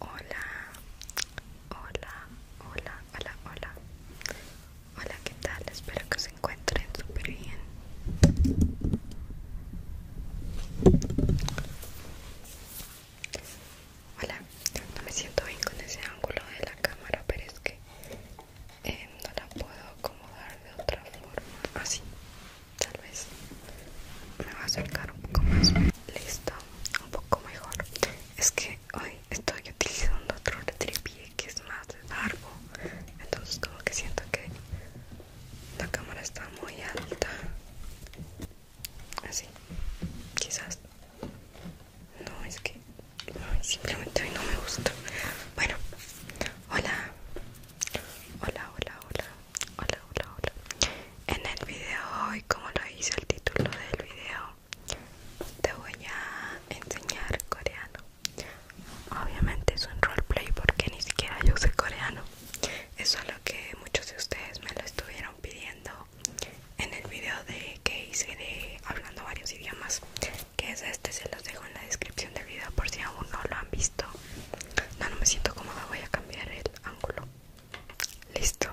Hola, hola, hola, hola, hola. Hola, ¿qué tal? Espero que se encuentren súper bien. Hola, no me siento bien con ese ángulo de la cámara, pero es que eh, no la puedo acomodar de otra forma. Así, ah, tal vez me va a acercar un poco más. Listo, un poco mejor. Es que hoy estoy utilizando otro retrepie que es más largo. Entonces como que siento que la cámara está muy alta. Así, quizás. No, es que simplemente hoy no me gusta. Bueno, hola. Hola, hola, hola hola, hola, hola. En el video hoy, como lo hice el título del video, te voy a enseñar coreano. Obviamente es un roleplay porque ni siquiera yo sé coreano. Eso es lo que muchos de ustedes me lo estuvieron pidiendo en el video de que hice de hablando varios idiomas. Que es este, se los dejo en la descripción del video por si aún no lo han visto. No, no me siento cómoda, voy a cambiar el ángulo. Listo.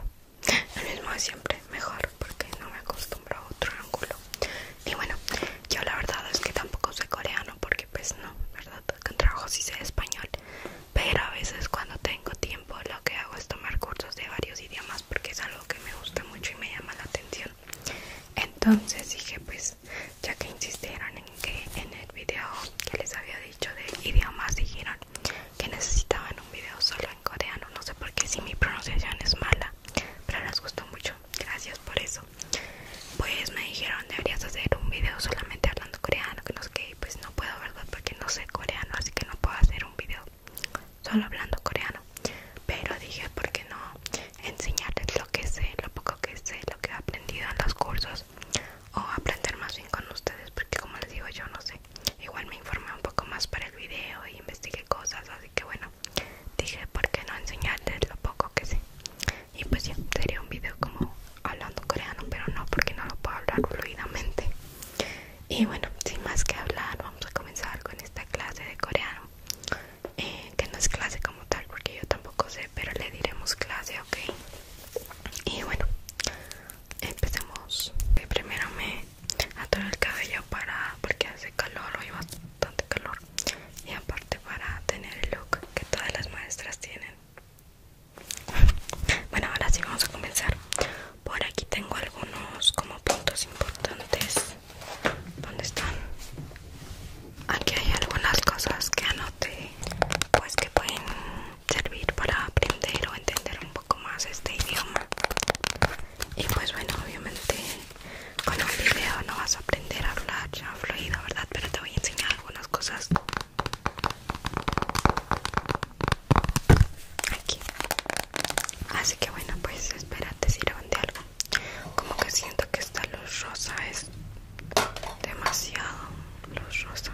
El mismo de siempre, mejor, porque no me acostumbro a otro ángulo. Y bueno, yo la verdad es que tampoco soy coreano, porque pues no, ¿verdad? Con trabajo sí sé español. Pero a veces cuando tengo tiempo lo que hago es tomar cursos de varios idiomas porque es algo que me gusta mucho y me llama la atención. Entonces dije pues ya que insistieron en que en el video que les había dicho de idiomas dijeron que necesitaban un video solo en coreano. No sé por qué si mi pronunciación es mala, pero les gustó mucho. Gracias por eso. Pues me dijeron deberías hacer un video solamente hablando coreano, que no sé qué. Pues no puedo, verdad, porque no sé coreano, así que no puedo hacer un video solo hablando coreano. Pero dije, ¿por qué no enseñarles lo que sé, lo poco que sé, lo que he aprendido en los cursos? O aprender más bien con ustedes, porque como les digo, yo no sé igual me informé un poco más para el video y investigué cosas así que bueno dije por qué no enseñarles lo poco que sé y pues ya sería un video como hablando coreano pero no porque no lo puedo hablar fluidamente y bueno sin más que hablar vamos a comenzar con esta clase de coreano eh, que no es clase como tal porque yo tampoco sé pero le diremos clase ok y bueno empecemos primero me atoro el cabello para porque hace calor hoy bastante calor y aparte para tener el look que todas las maestras tienen bueno ahora sí vamos a comenzar por aquí tengo algunos como puntos importantes ¿Dónde están? Aquí hay algunas cosas que anoté, pues que pueden servir para aprender o entender un poco más este idioma y pues bueno obviamente con un video no vas a aprender a hablar ya fluido verdad pero te voy a enseñar algunas cosas aquí así que bueno pues espérate si de algo como que siento que esta luz rosa es demasiado luz rosa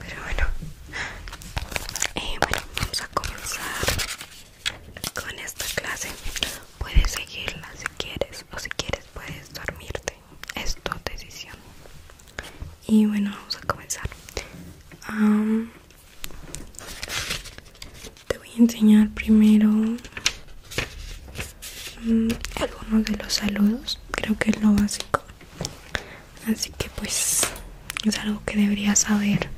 pero bueno, eh, bueno, vamos a comenzar con esta clase. Puedes seguirla si quieres o si quieres puedes dormirte. Es tu decisión. Y bueno, vamos a comenzar. te voy a enseñar primero mm, algunos de los saludos, creo que es lo básico así que pues es algo que deberías saber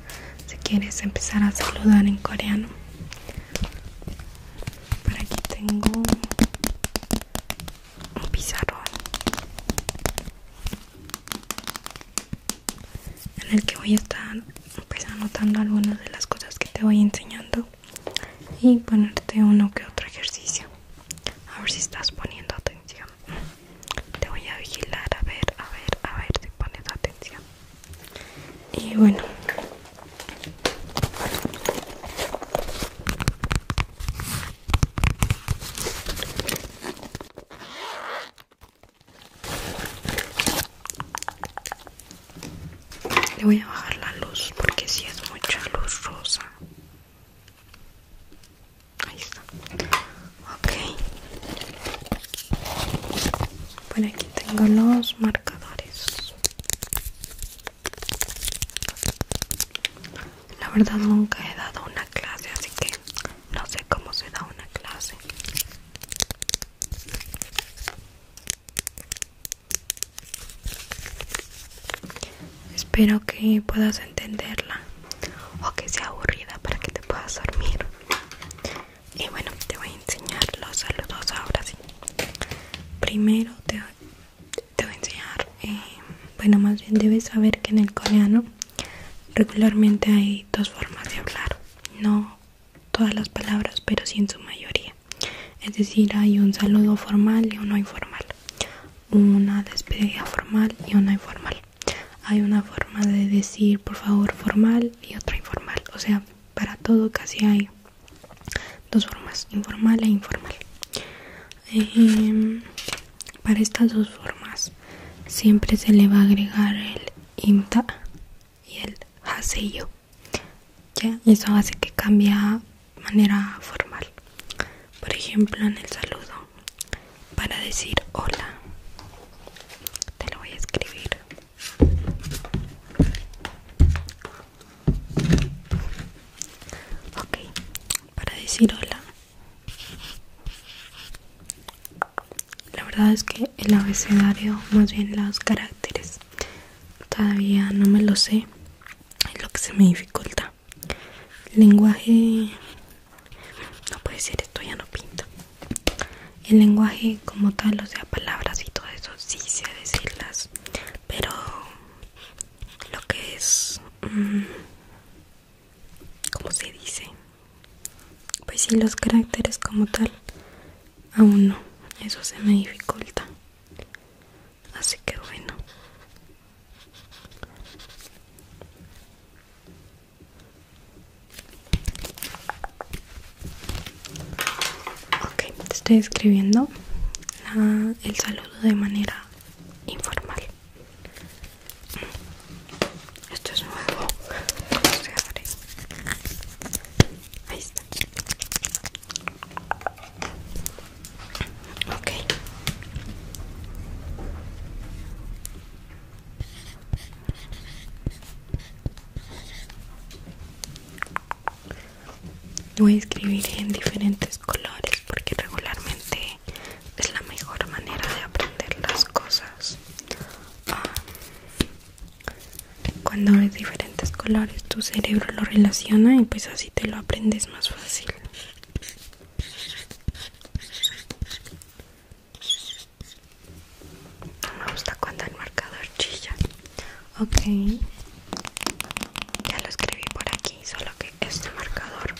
si quieres empezar a saludar en coreano por aquí tengo un pizarrón en el que voy a estar pues, anotando algunas de las cosas que te voy enseñando y ponerte uno que otro ejercicio a ver si estás poniendo atención te voy a vigilar a ver a ver a ver si pones atención y bueno le voy a bajar la luz porque si es mucha luz rosa Ahí está. Ok. Por aquí tengo los marcadores. La verdad nunca he dado una clase, así que no sé cómo se da una clase. Espero que puedas entenderla o que sea aburrida para que te puedas dormir. Y bueno, te voy a enseñar los saludos ahora sí. Primero te, voy a enseñar, eh, bueno, más bien debes saber que en el coreano regularmente hay dos formas de hablar. No todas las palabras, pero sí en su mayoría. Es decir, hay un saludo formal y uno informal una despedida formal y una informal. Hay una forma de decir por favor formal y otra informal. O sea, para todo casi hay dos formas, informal e informal. Em, para estas dos formas siempre se le va a agregar el inta y el haseyo. ¿Ya? Eso hace que cambie manera formal por ejemplo en el saludo para decir hola te lo voy a escribir ok para decir hola la verdad es que el abecedario más bien los caracteres todavía no me lo sé es lo que se me dificulta lenguaje no puede ser esto ya no pinta el lenguaje como tal o sea palabras y todo eso sí sé decirlas pero lo que es mm, como se dice pues sí los caracteres como tal aún no eso se me dificulta así que bueno Ok, te estoy escribiendo el saludo de manera informal. Esto es nuevo. Ahí está. Ok. Voy a escribir en diferentes colores porque regularmente es la mejor manera de aprender las cosas. Ah, cuando es diferentes colores tu cerebro lo relaciona y pues así te lo aprendes más fácil. Me gusta cuando el marcador chilla. Ok. Ya lo escribí por aquí, solo que este marcador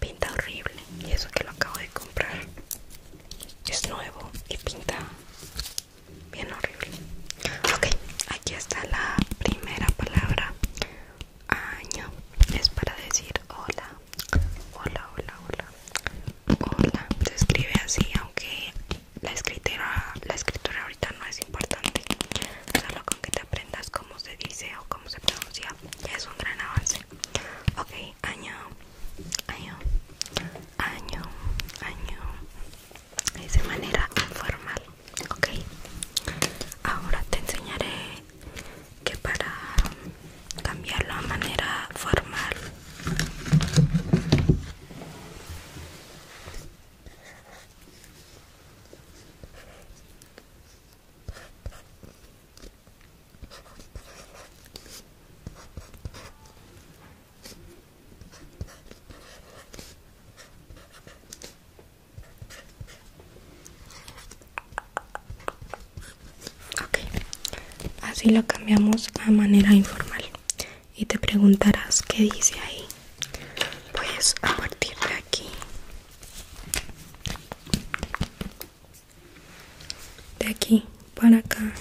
pinta horrible. Y eso que lo acabo de comprar. Es nuevo y pinta bien horrible. Ok, aquí está la primera palabra año es para decir hola, hola, hola, hola, hola. Se escribe así, aunque la escritura, la escritura ahorita no es importante. Solo con que te aprendas cómo se dice o cómo se pronuncia ya es un gran avance. Ok, año, año, año, año. Es de manera informal. Ok, ahora te enseñaré que para cambiarlo a manera formal Ok, así lo cambiamos a manera informal. Y te preguntarás qué dice ahí. Pues a partir de aquí de aquí para acá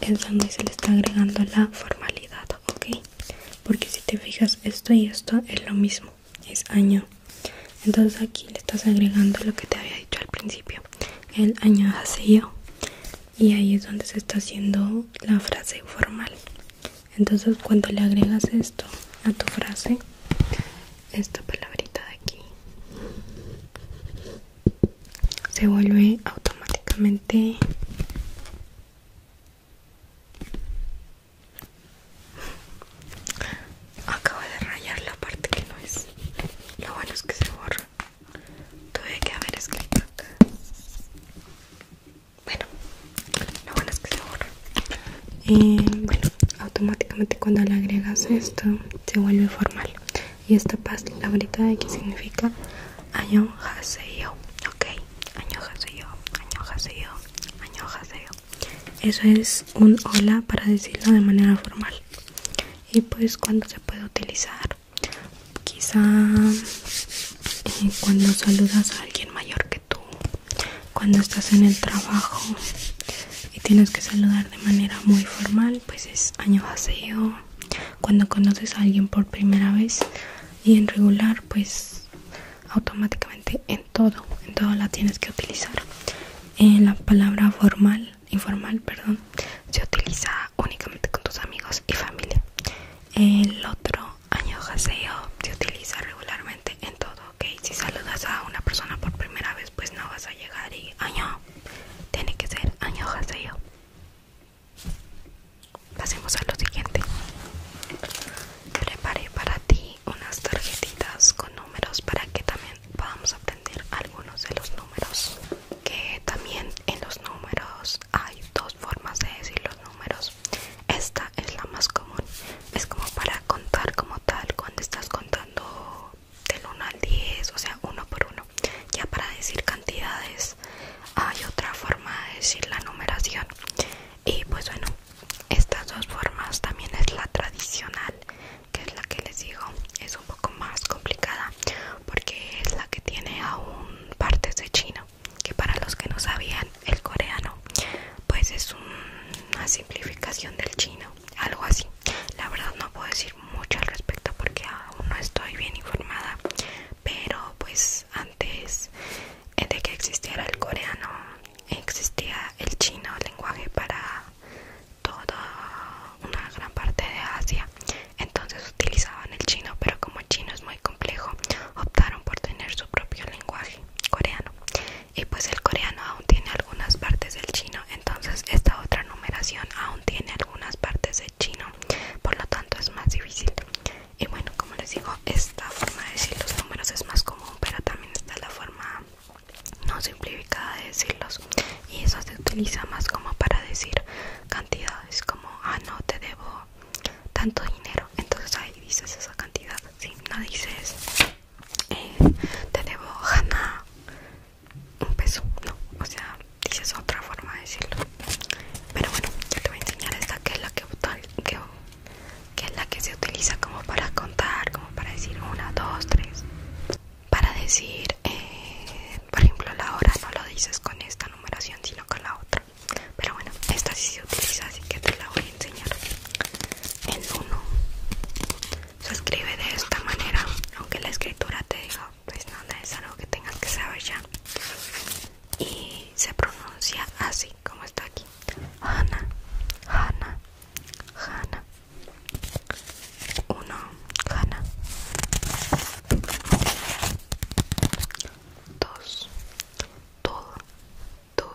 es donde se le está agregando la formalidad ok porque si te fijas esto y esto es lo mismo es año entonces aquí le estás agregando lo que te había dicho al principio el año hace yo y ahí es donde se está haciendo la frase formal entonces cuando le agregas esto a tu frase esta palabrita de aquí se vuelve automáticamente Acabo de rayar la parte que no es. Lo bueno es que se borra. Tuve que haber escrito Bueno, lo bueno es que se borra. bueno, automáticamente cuando le agregas esto, se vuelve formal. Y esta pastilla de aquí significa año haseo. Ok, año haseo, año haseo, año eso es un hola para decirlo de manera formal. Y pues cuando se puede utilizar, quizá eh, cuando saludas a alguien mayor que tú, cuando estás en el trabajo y tienes que saludar de manera muy formal, pues es año vacío. Cuando conoces a alguien por primera vez y en regular, pues automáticamente en todo en todo la tienes que utilizar en la palabra formal informal perdón se utiliza únicamente con tus amigos y familia el otro Añojaseo se utiliza regularmente en todo ok si saludas a una persona por primera vez pues no vas a llegar y año tiene que ser añojaseo pasemos a lo siguiente preparé para ti unas tarjetitas con números para que también podamos aprender algunos de los números que también en los números hay dos formas de decir los números esta es la más común es como para contar como tal cuando estás contando del 1 al 10 o sea uno por uno ya para decir cantidades hay otra forma de decir la numeración y pues bueno estas dos formas también es la tradicional, que es la que les digo, es un poco más complicada porque es la que tiene aún partes de chino, que para los que no sabían el coreano, pues es una simplificación del chino, algo así. La verdad no puedo decir mucho al respecto porque aún no estoy bien informada, pero pues antes de que existiera el coreano existía el chino, lenguaje para toda una gran parte de Asia. Entonces utilizaban el chino, pero como el chino es muy complejo, optaron por tener su propio lenguaje coreano. Y pues el coreano aún tiene algunas partes del chino, entonces esta otra numeración aún tiene algunas partes del chino, por lo tanto es más difícil. Y bueno, como les digo, esta forma de decir los números es más común, pero también está la forma no simplificada de decirlos y eso se utiliza más como para decir cantidades como ah no te debo tanto dinero entonces ahí dices esa cantidad si no dices eh, te debo jana un peso no o sea dices otra forma de decirlo pero bueno yo te voy a enseñar esta que es la que, que que es la que se utiliza como para contar, como para decir una, dos, tres. Para decir, eh, por ejemplo, la hora no lo dices con esta numeración, sino con la otra. Pero bueno, esta sí se utiliza, así que te la voy a enseñar. El 1 se escribe de esta manera, aunque la escritura te diga, pues no, es algo que tengas que saber ya. Y se pronuncia así, como está aquí. Ana, Ana, Ana. Uno, gana, Dos, todo, todo,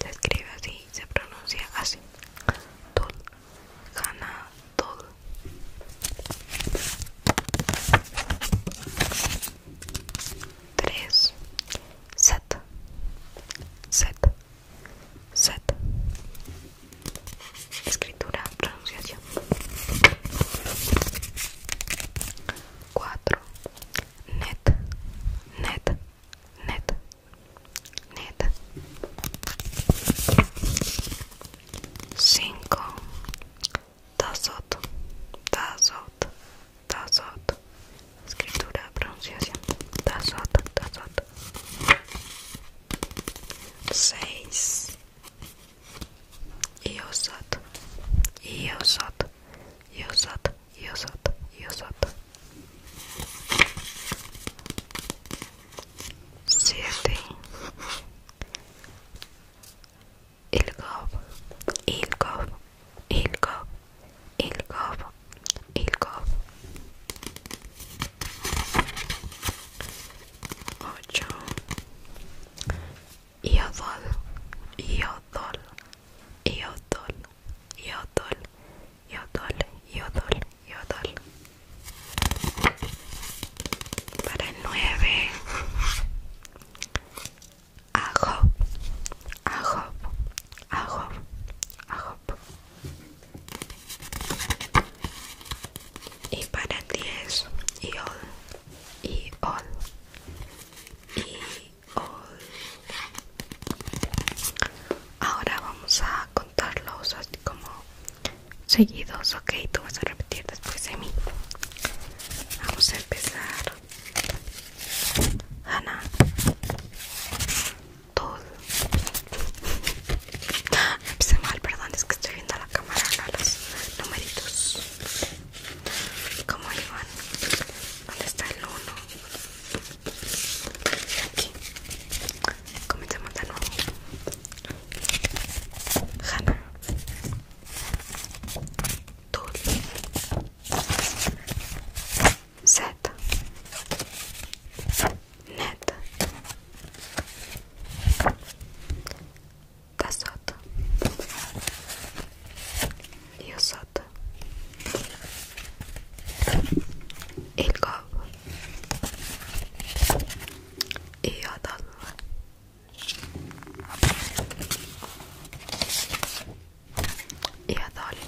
Se escribe así, se pronuncia así. todo gana, todo, Tres, set, set set Escritura, pronunciación 4 Net, net, net, net 5 Tazot, tazot, Tazot. Escritura, pronunciación. Tazot, tazot. 6. Yosot. Yosot. Yosot. Yosot. Yosot. 7. Ilgov. Ilgov ilco, ilco, ilco, Ocho. Iodol, y Iodol, y Iodol, y Iodol. Para el nueve. Ajo, ajo, a Y para 10 y all, y all, y all. Ahora vamos a contarlos así como seguidos, ok. Tú vas a repetir después de mí. Vamos a empezar. Ana todo. Me mal, perdón, es que estoy viendo a la cámara, los numeritos. ¿Cómo iban? ¿Dónde está el 1? Aquí. Comencemos de nuevo. Hannah. Tul. Z net da sotto io sotto il covo io dollo y a Dolly,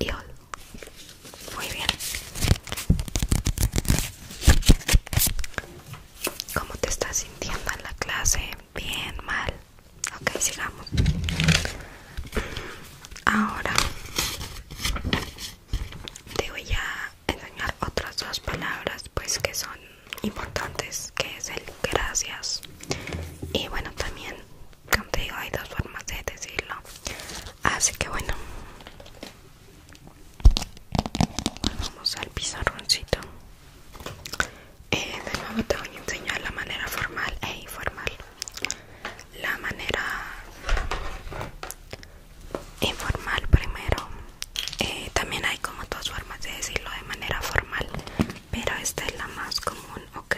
y Muy bien. ¿Cómo te estás sintiendo en la clase? Bien, mal. Ok, sigamos. Ahora, te voy a enseñar otras dos palabras pues que son importantes que es el gracias y bueno también como te digo hay dos formas de decirlo así que bueno vamos al pizarroncito eh, de nuevo te voy a enseñar la manera formal e informal la manera informal primero eh, también hay como dos formas de decirlo de manera formal pero esta es la más común ok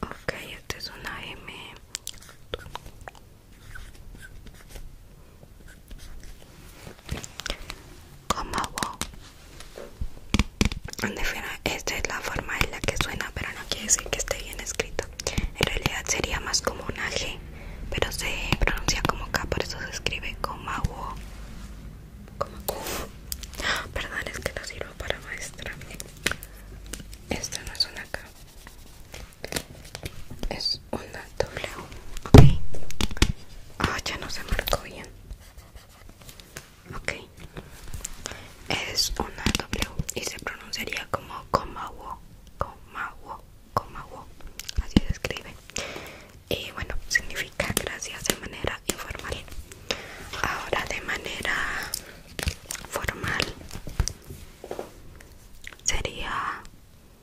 Ok, es una M como wow. Esta es la forma en la que suena, pero no quiere decir que esté bien escrito. En realidad sería más como una G, pero se pronuncia como K, por eso se escribe como wow. Como Perdón, es que no sirvo para maestra. Esta no es una K una W. Ok. Ah, ya no se marcó bien. Ok. Es una W y se pronunciaría como wo, coma wo, Así se escribe. Y bueno, significa gracias de manera informal. Ahora de manera formal sería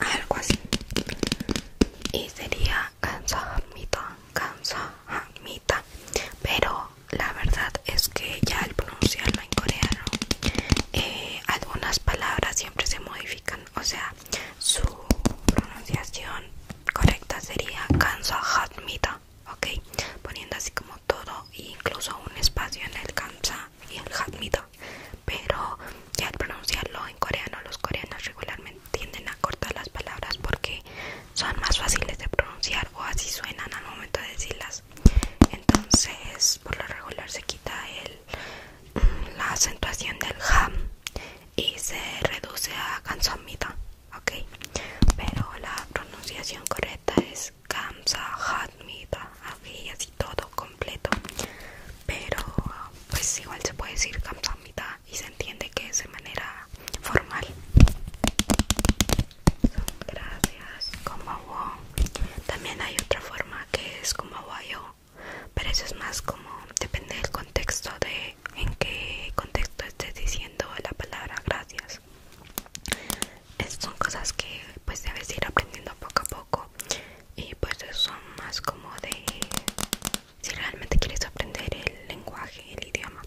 algo así y sería Kansahamnida Kansahamnida pero la verdad es que ya al pronunciarlo en coreano eh, algunas palabras siempre se modifican o sea su pronunciación correcta sería Kansahamnida ok poniendo así como todo incluso un espacio en el Kansa y el jamido, pero al pronunciarlo en coreano los coreanos regularmente tienden a cortar las palabras porque son más fáciles de pronunciar o así suenan al momento de decirlas entonces por lo regular se quita el, mm, la acentuación del jam y se reduce a gansomida ok pero la pronunciación correcta es es Kamsa y así todo completo. Pero pues igual se puede decir Kamsa Mita y se entiende que es de manera formal. Gracias, como También hay otra forma que es como yo pero eso es más como depende del contexto de en qué contexto estés diciendo la palabra gracias. son cosas que pues debes ir aprendiendo poco a poco y pues son más como de si realmente quieres aprender el lenguaje el idioma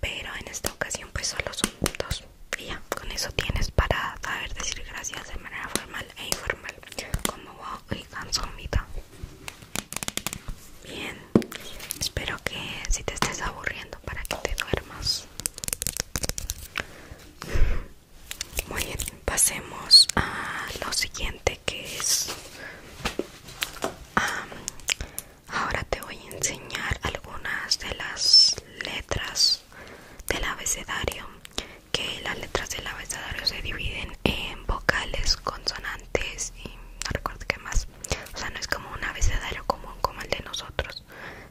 pero en esta ocasión pues solo son dos y ya con eso tienes para saber decir gracias de manera formal e informal como wow cansomita bien espero que si te estés aburriendo para que te duermas muy bien, pasemos a lo siguiente que es... ahora te voy a enseñar algunas de las letras del abecedario. Que las letras del abecedario se dividen en vocales, consonantes y no recuerdo qué más. O sea, no es como un abecedario común como el de nosotros,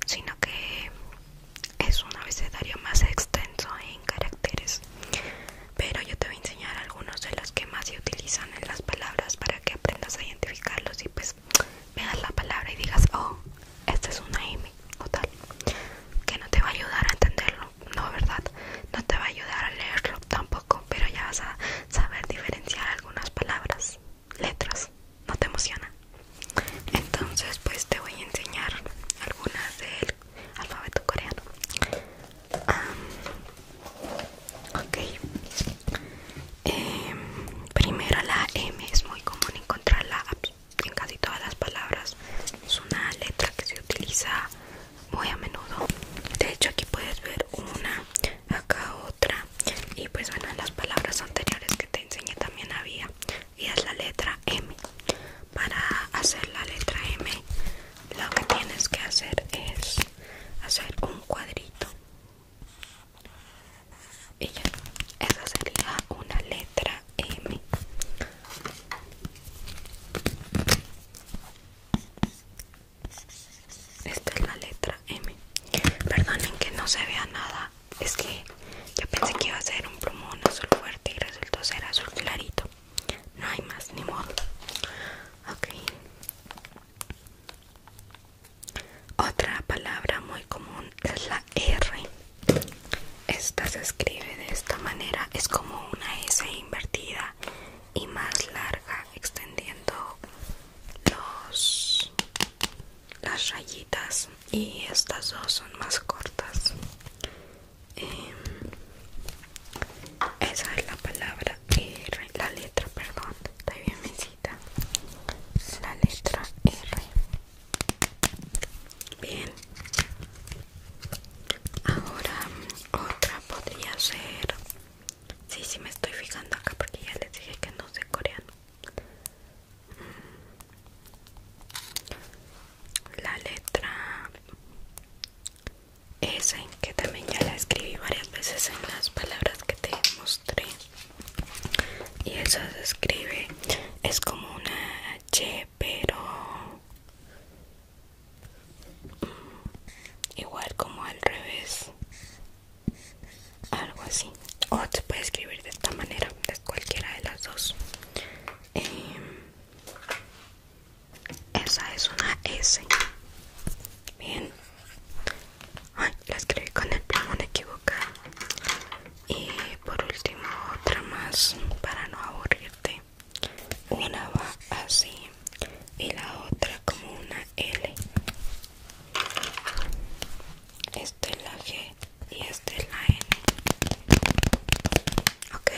sino que es un abecedario más extenso en caracteres pero yo te voy a enseñar algunos de los que más se utilizan en las palabras para que aprendas a identificarlos y pues veas la palabra y digas oh esta es una M o tal que no te va a ayudar a entenderlo no verdad no te va a ayudar a leerlo tampoco pero ya vas a saber diferenciar algunas palabras letras no te emociona entonces pues te voy a enseñar algunas del alfabeto coreano ok em, primero la M es muy común encontrarla en casi todas las palabras es una letra que se utiliza muy a menudo de hecho aquí puedes ver una acá otra y pues bueno en las palabras anteriores que te enseñé también había y es la letra M. Para hacer la letra M, lo que tienes que hacer es hacer un cuadrito. Y ya, esa sería una letra M. Esta es la letra M. Perdonen que no se vea nada es que yo pensé que iba a ser un plumón azul fuerte y resultó ser azul clarito. No hay más, ni modo. Ok. Otra palabra muy común es la R. Esta se escribe de esta manera, es como una S invertida y más larga, extendiendo los las rayitas y estas dos son más cortas em, esa es la palabra R la letra perdón está bien mi la letra R bien ahora otra podría ser sí sí me estoy fijando acá porque ya les dije que no sé coreano la letra S, que también ya la escribí varias veces en las palabras que te mostré. Y eso se escribe, es como una H, pero igual como al revés. Algo así. O se puede escribir de esta manera, de cualquiera de las dos. Eh, esa es una S bien la escribí con el plumón equivocado y por último otra más para no aburrirte una va así y la otra como una L esta es la G y esta es la N. Ok.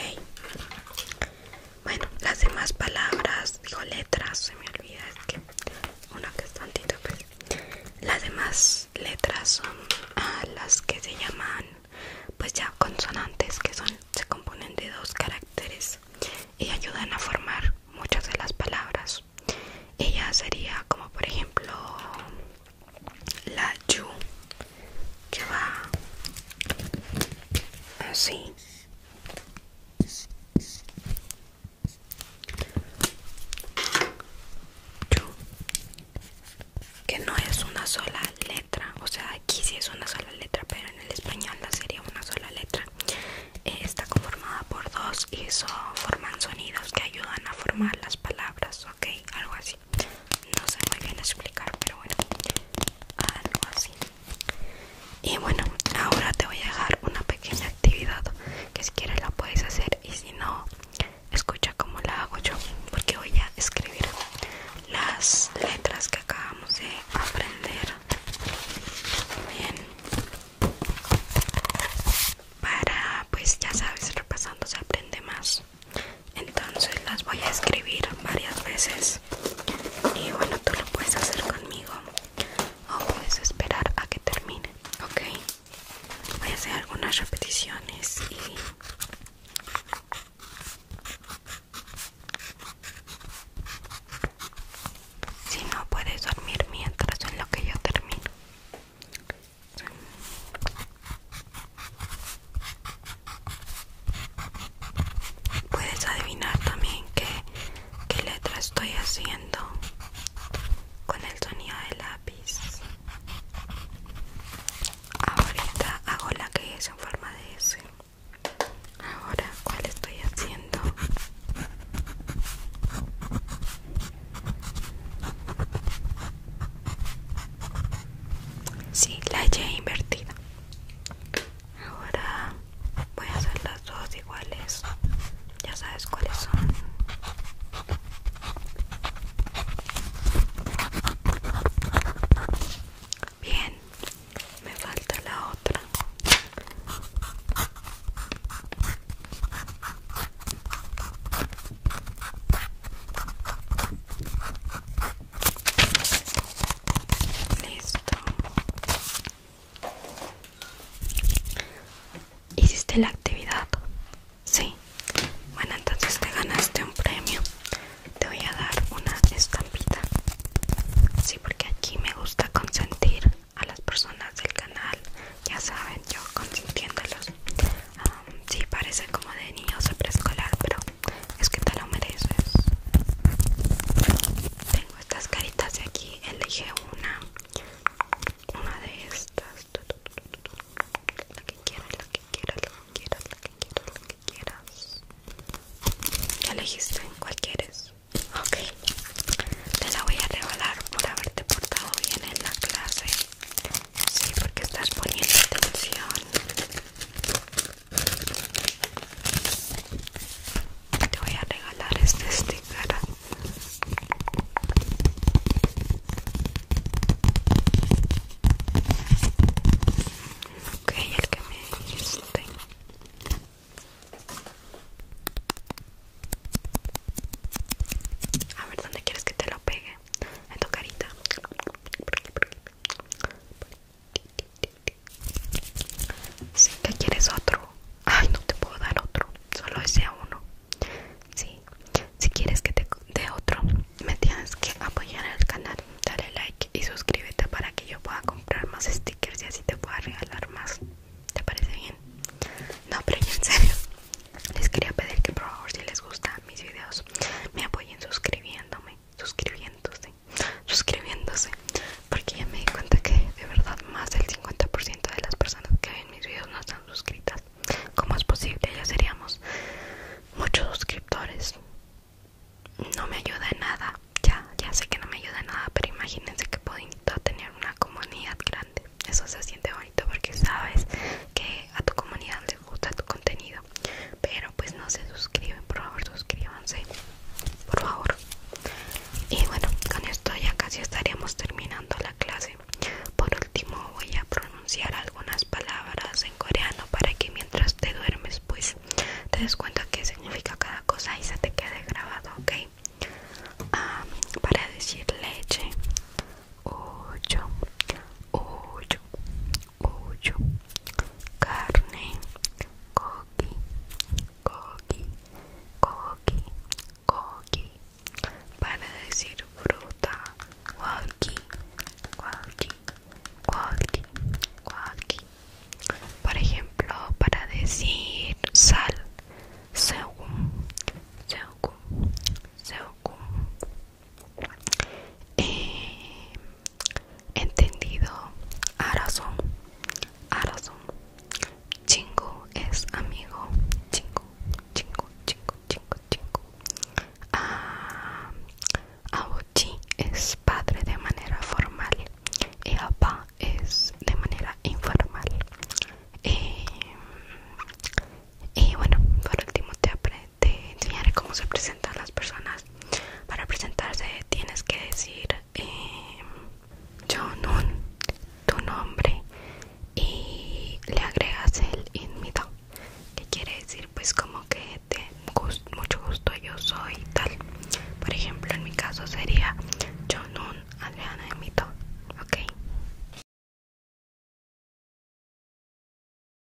Bueno, las demás palabras, digo letras, se me olvida, es que una que es pues. Las demás letras son ah, las que se llaman, pues ya consonantes, que son se componen de dos caracteres y ayudan a formar muchas de las palabras. Ella sería como por ejemplo la yu que va así que no es una sola letra o sea aquí sí es una sola letra pero en el español la sería una sola letra eh, está conformada por dos y eso forman sonidos que ayudan a formar las palabras ok algo así no sé muy bien explicar pero bueno algo así y bueno ahora te voy a dejar una pequeña actividad que si quieres la puedes hacer y si no escucha como la hago yo porque voy a escribir las letras que acabamos de aprender bien para pues ya sabes repasando se aprende más entonces las voy a escribir varias veces y bueno tú lo puedes hacer conmigo o puedes esperar a que termine ok voy a hacer algunas repeticiones y si no puedes dormir mientras en lo que yo termino Puedes adivinar también qué, qué letra estoy haciendo con el sonido de lápiz. Ahorita hago la que es en forma de S. Ahora, ¿cuál estoy haciendo? Sí, la Y invertida. Ahora voy a hacer las dos iguales. Ya sabes cuáles son. Bien, me falta la otra. Listo. ¿Hiciste la actividad? Sí. Bueno, entonces te ganaste un premio. Te voy a dar una estampita. Sí, porque aquí me gusta consentir a las personas del canal. Ya saben, yo consentiéndolos Um, sí, parece como de niños o preescolar, pero es que te lo mereces. Tengo estas caritas de aquí, elegí una. Una de estas. Lo que quieras, lo que quieras, lo que quieras, lo que quieras, lo que quieras. Ya elegiste cuál quieres. Ok. Te la voy a regalar por haberte portado bien en la clase. Sí, porque estás poniendo atención. Te voy a regalar este sticker. Ok, el que me dijiste. A ver, ¿dónde quieres que te lo pegue? En tu carita. Si que quieres otro. Ay, no te puedo dar otro. Solo ese a uno. si quieres que te dé otro, me tienes que apoyar al canal. Dale like y suscríbete para que yo pueda comprar más stickers y así te pueda regalar más. ¿Te parece bien? No, pero en serio. Les quería pedir que por favor si les gusta mis vídeos me apoyen suscribiéndome suscribiéndose suscribiéndose porque ya me di cuenta que de verdad más del 50% de las personas que ven mis vídeos no están suscritas ¿Cómo es posible? Ya seríamos muchos suscriptores no me ayuda en nada ya ya sé que no me ayuda en nada pero imagínense que puedo tener una comunidad grande eso se siente bonito porque sabes que a tu comunidad les gusta tu contenido pero pues no se suscriben por favor suscríbanse por favor y bueno con esto ya casi estaríamos terminando la clase por último voy a pronunciar algunas palabras en coreano para que mientras te duermes pues te des cuenta qué significa cada cosa y se te quede grabado ok para decir leche ocho 8 carne, coqui, coqui, coqui, coqui. Para decir fruta, coqui, coqui, coqui, coqui. Por ejemplo, para decir sal, según, según, según. Eh, entendido a razón a chingo es amigo chingo chingo chingo chingo chingo ah, Bochi es padre de manera formal y pa es de manera informal eh, y bueno por último te, aprecio te enseñaré cómo se presentan las personas. Para presentarse tienes que decir eh, Jonun, tu nombre, y le agregas el mito que quiere decir pues como que te mucho gusto yo soy tal. Por ejemplo, en mi caso sería Jonun Adriana Inmito, ¿ok?